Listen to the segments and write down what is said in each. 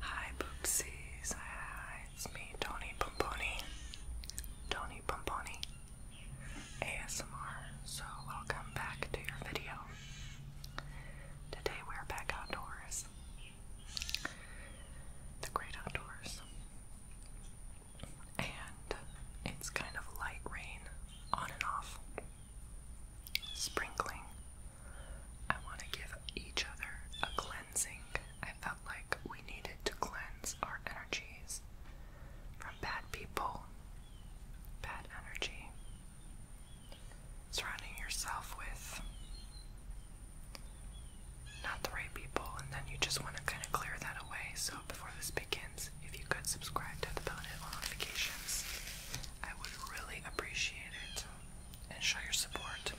Hi Boopsies, it's me Tony Pomponi, Tony Pomponi, ASMR, so welcome back to your video. Today we're back outdoors, the great outdoors, and it's kind of light rain on and off sprinkling. I want to give each other a cleansing. I felt like we needed to cleanse our energies from bad people, bad energy. Surrounding yourself with not the right people, and then you just want to kind of clear that away. So, before this begins, if you could subscribe to the bell notifications, I would really appreciate it and show your support.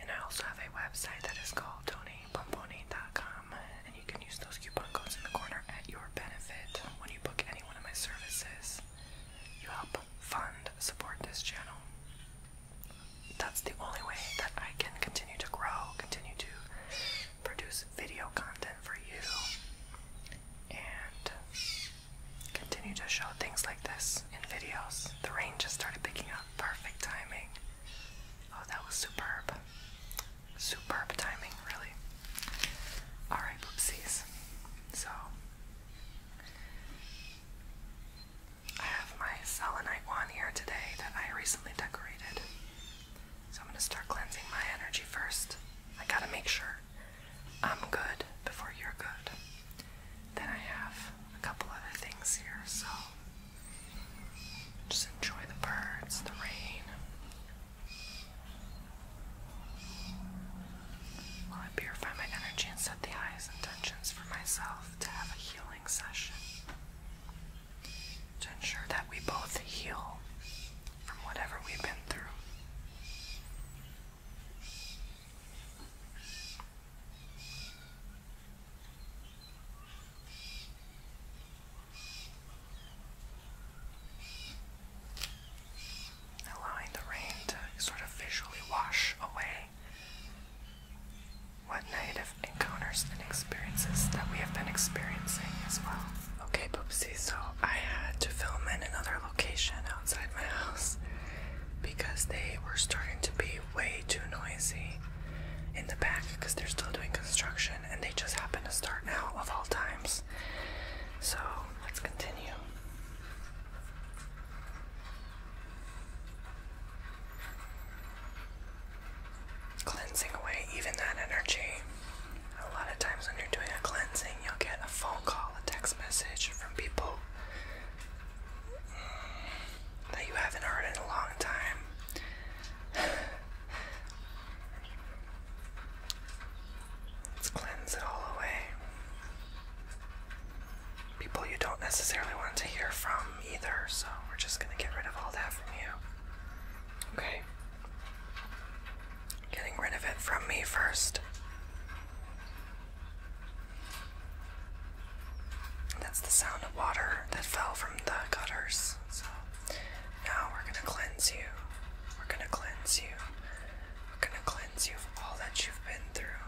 And I also have a website that is called donatepomponi.com and you can use those coupon codes in the corner at your benefit when you book any one of my services. You help fund, support this channel. That's the only way that I can continue to grow, continue to produce video content for you and continue to show things like this in videos. The rain just started picking up. Perfect timing. Oh, that was superb. Superb timing, really. Alright, whoopsies. So, I have my selenite wand here today that I recently decorated. So, I'm going to start cleansing my energy first. I gotta make sure I'm good before you're good. Then I have a couple other things here, so just enjoy the birds, the rain. While I purify my energy and set the highest intentions for myself to have a healing session. To ensure that we both heal from whatever we've been through allowing the rain to sort of visually wash away what negative encounters and experiences that we have been experiencing as well. Okay, Poopsie, so I had to film in another location outside my house because they were starting to be way too noisy in the back because they're still doing construction and they just happen to start now of all times. So let's continue. Cleansing away even that energy. A lot of times when you're doing a cleansing, you'll get a phone call, a text message from people that you haven't heard in a long time. Let's cleanse it all away. People you don't necessarily want to hear from either, so we're just going to get rid of all that from you. Okay? Getting rid of it from me first. That's the sound of water that fell from the gutters. So now we're gonna cleanse you. We're gonna cleanse you. We're gonna cleanse you of all that you've been through.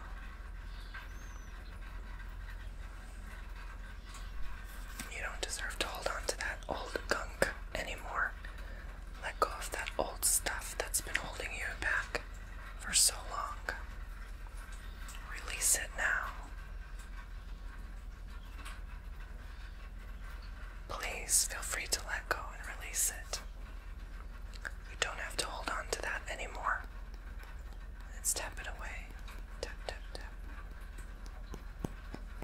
You don't deserve to hold on that old gunk anymore. Let go of that old stuff that's been holding you back for so long. Release it now. Please feel free to let go and release it. You don't have to hold on to that anymore. Let's tap it away. Tap, tap, tap.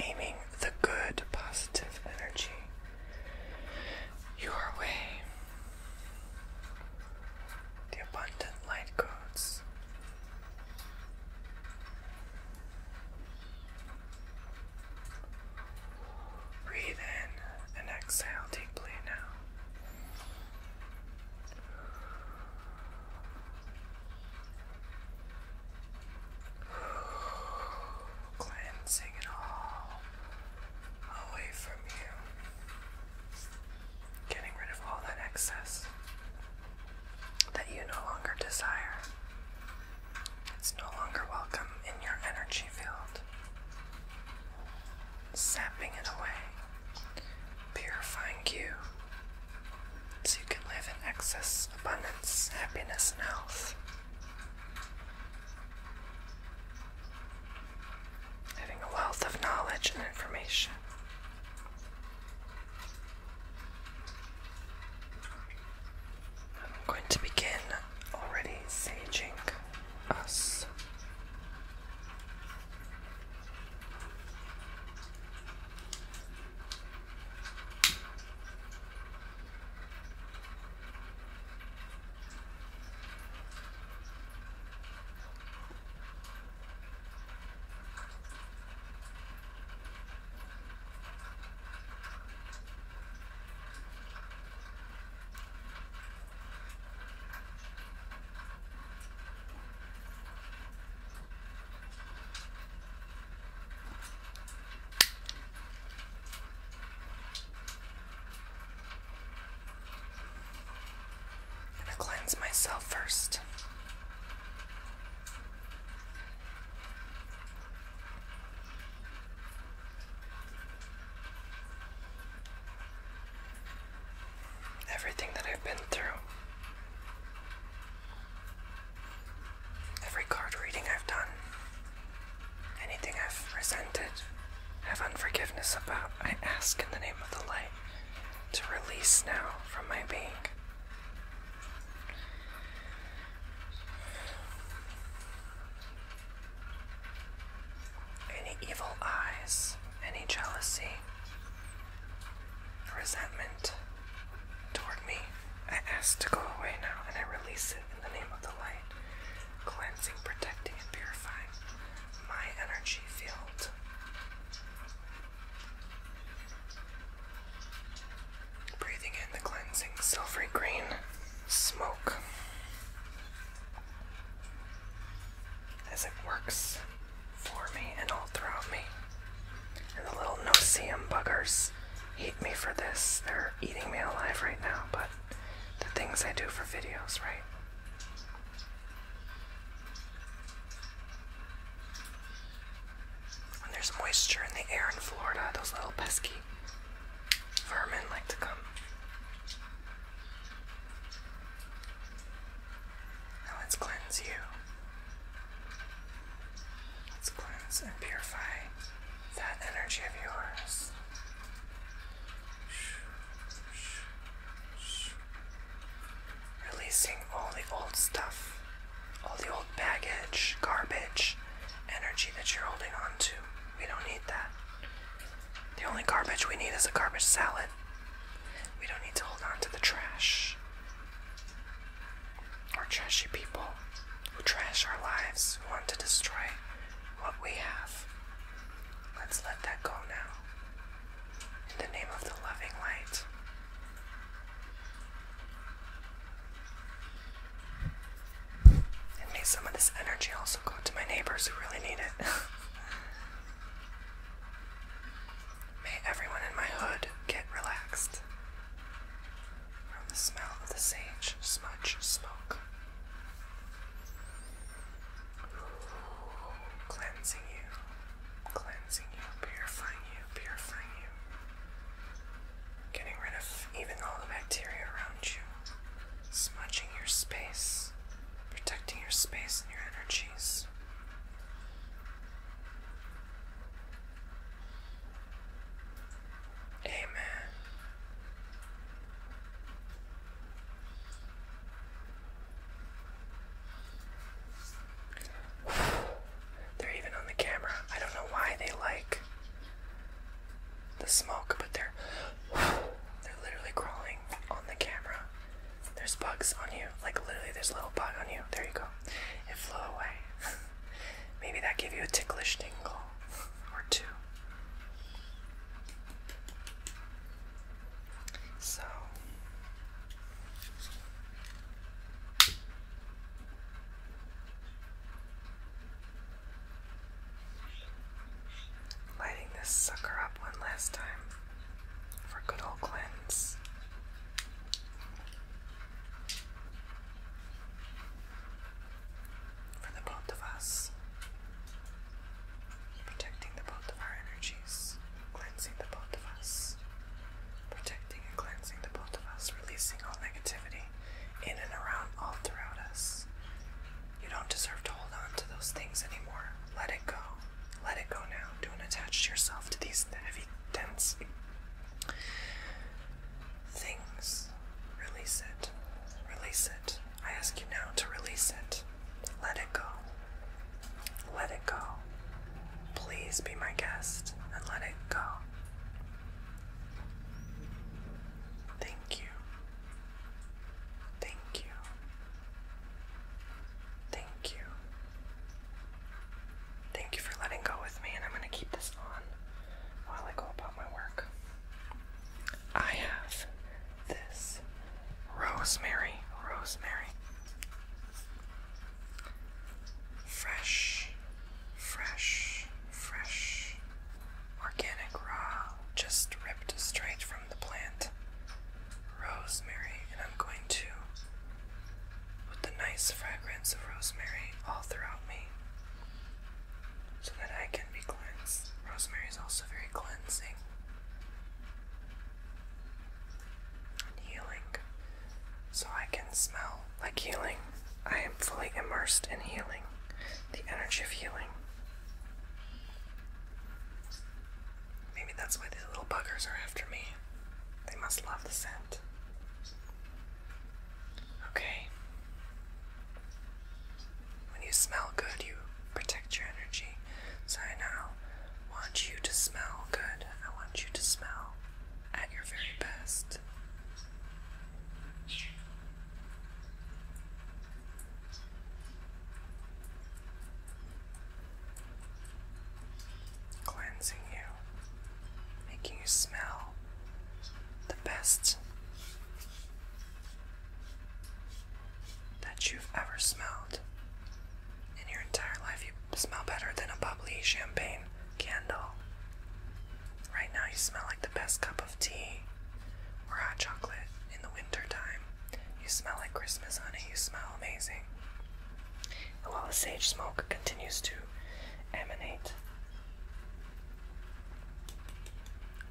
Aiming the good positive energy your way. The abundant light codes Breathe in and exhale deeply now. Cleansing it all away from you, getting rid of all that excess that you no longer desire. It's no longer welcome in your energy field, sapping it away, purifying you, so you can live in excess, abundance, happiness, and health. Having a wealth of knowledge and information. I'm going to begin already saging us. I'm gonna cleanse myself first. Everything that I've been through, every card reading I've done, anything I've resented, have unforgiveness about, I ask in the name of the light to release now from my being. Any evil eyes, any jealousy, resentment toward me, I ask to go away now and I release it in the name of the light, cleansing, protecting, and purifying my energy field. Breathing in the cleansing silvery green smoke as it works for me and all throughout me. And the little noceum buggers hate me for this. They're eating me alive right now, but the things I do for videos, right? When there's moisture in the air in Florida, those little pesky vermin like to come. Now let's cleanse you. Let's cleanse and purify that energy of yours. Shh, shh, shh. Releasing all the old stuff, all the old baggage, garbage, energy that you're holding on to. We don't need that. The only garbage we need is a garbage salad. We don't need to hold on to the trash Our trashy people who trash our lives, who want to destroy what we have. Let's let that go now in the name of the loving light. may some of this energy also go to my neighbors who really need it. may everyone in my hood get relaxed from the smell of the sage, smudge, smoke. cleansing you cleansing you, purifying you, purifying you, getting rid of even all the bacteria around you, smudging your space, protecting your space and your energies. Amen. They're even on the camera. I don't know why they like the smoke, but they're they're literally crawling on the camera. There's bugs on you. Like literally there's a little bug on you. There you go. It flew away. Maybe that gave you a ticklish tingle or two. So Lighting this sucker up one last time for good old cleanse. For the both of us, protecting the both of our energies cleansing the both of us, protecting and cleansing the both of us, releasing all negativity in and around, all throughout us. You don't deserve to hold on to those things anymore. Let it go. Let it go now. Don't attach yourself to these heavy, dense things. Release it. Release it. I ask you now to release it. Let it go. Let it go. Please be my guest and let it go. Thank you. Thank you. Thank you. Thank you for letting go with me, and I'm going to keep this on while I go about my work. I have this rosemary, rosemary. Fresh, fresh, fresh. Organic raw, just ripped straight from the plant. Rosemary, and I'm going to put the nice fragrance of rosemary all throughout me so that I can be cleansed. Rosemary is also very cleansing and healing so I can smell like healing. I am fully immersed in healing, the energy of healing. Maybe that's why these little buggers are after me. They must love the scent. Okay. When you smell good, you protect your energy. So I now want you to smell good. I want you to smell at your very best. Cleansing you, making you smell the best that you've ever smelled. In your entire life, you smell better than a bubbly champagne candle. Right now, you smell like the best cup of tea or hot chocolate in the winter time. You smell like Christmas, honey. You smell amazing. And while the sage smoke continues to emanate,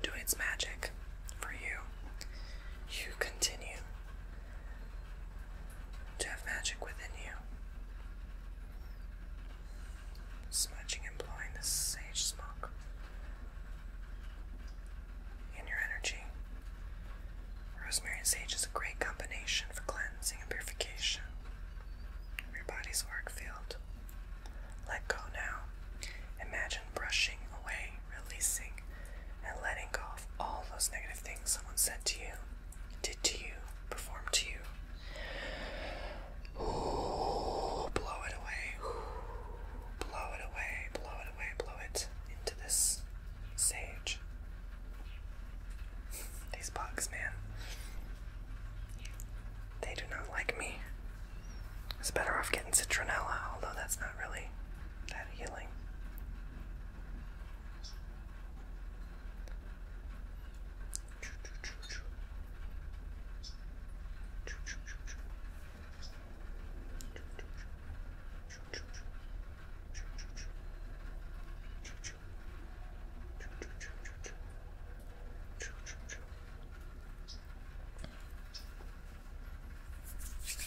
do its magic for you, you continue to have magic within you. Smudging and blowing the sage smoke in your energy. Rosemary and sage is a great combination for cleansing and purification of your body's work field. Let go now. Imagine brushing away, releasing, and letting go of all those negative things someone said to you, did to you, performed to you. Ooh, blow it away. blow it away, blow it away, blow it into this sage. These bugs, man. They do not like me. I better off getting citronella, although that's not really that healing.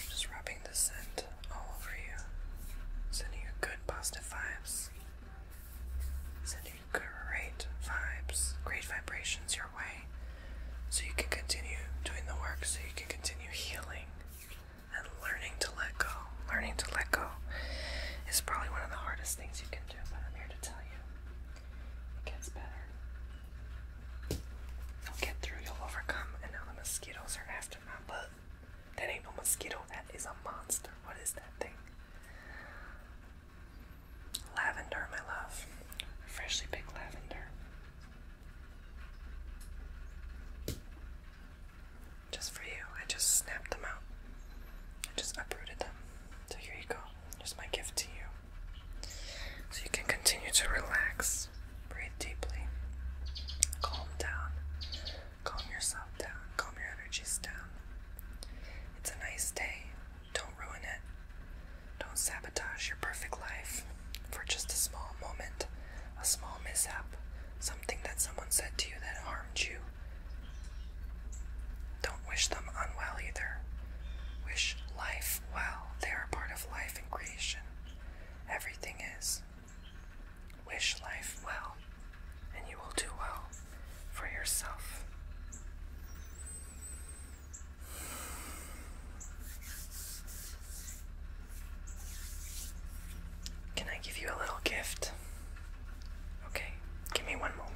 Just rubbing the scent all over you, sending you good positive vibes. Sending great vibes, great vibrations your way so you can continue doing the work, so you can continue healing and learning to let go. Learning to let go is probably one of the hardest things you can do, but I'm here to tell you it gets better. You'll get through, you'll overcome, and now the mosquitoes are after my butt that ain't no mosquito. That is a monster. What is that thing? Lavender, my love. Freshly picked lavender. Just for you. I just snapped them out. I just uprooted them. So here you go. Here's my gift to you. So you can continue to relax, breathe deeply, calm down, Calm yourself down. Calm your energies down. It's a nice day. Don't ruin it. Don't sabotage your perfect life for just a small moment, a small mishap, something that someone said to you that harmed you. Don't wish them unwell either. Wish life well. They are part of life and creation. Everything is. Wish life well, and you will do well for yourself. Can I give you a little gift? Okay, give me one moment.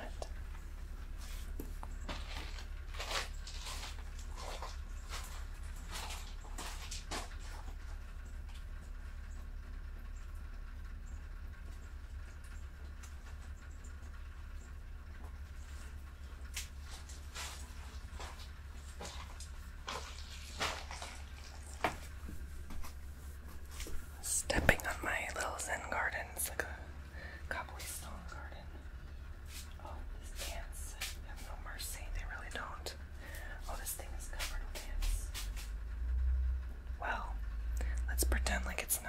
Stepping on my little Zen garden. It's like a cobblestone stone garden. Oh, these ants have no mercy. They really don't. Oh, this thing is covered with ants. Well, let's pretend like it's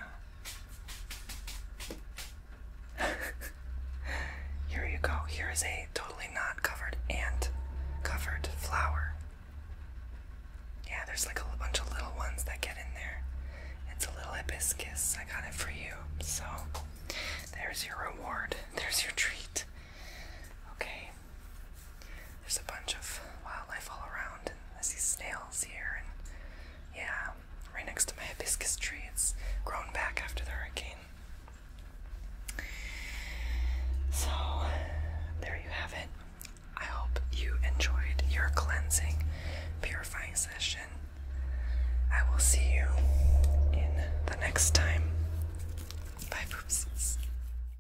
not. Here you go. Here is a totally not covered ant covered flower. Yeah, there's like a bunch of little ones that get in there. It's a little hibiscus. I got it for you. So, there's your reward. There's your treat. Okay, there's a bunch of wildlife all around, and I see snails here, and yeah, right next to my hibiscus tree, it's grown back after the hurricane. So, there you have it. I hope you enjoyed your cleansing, purifying session. I will see you in the next time. Bye, poopsies.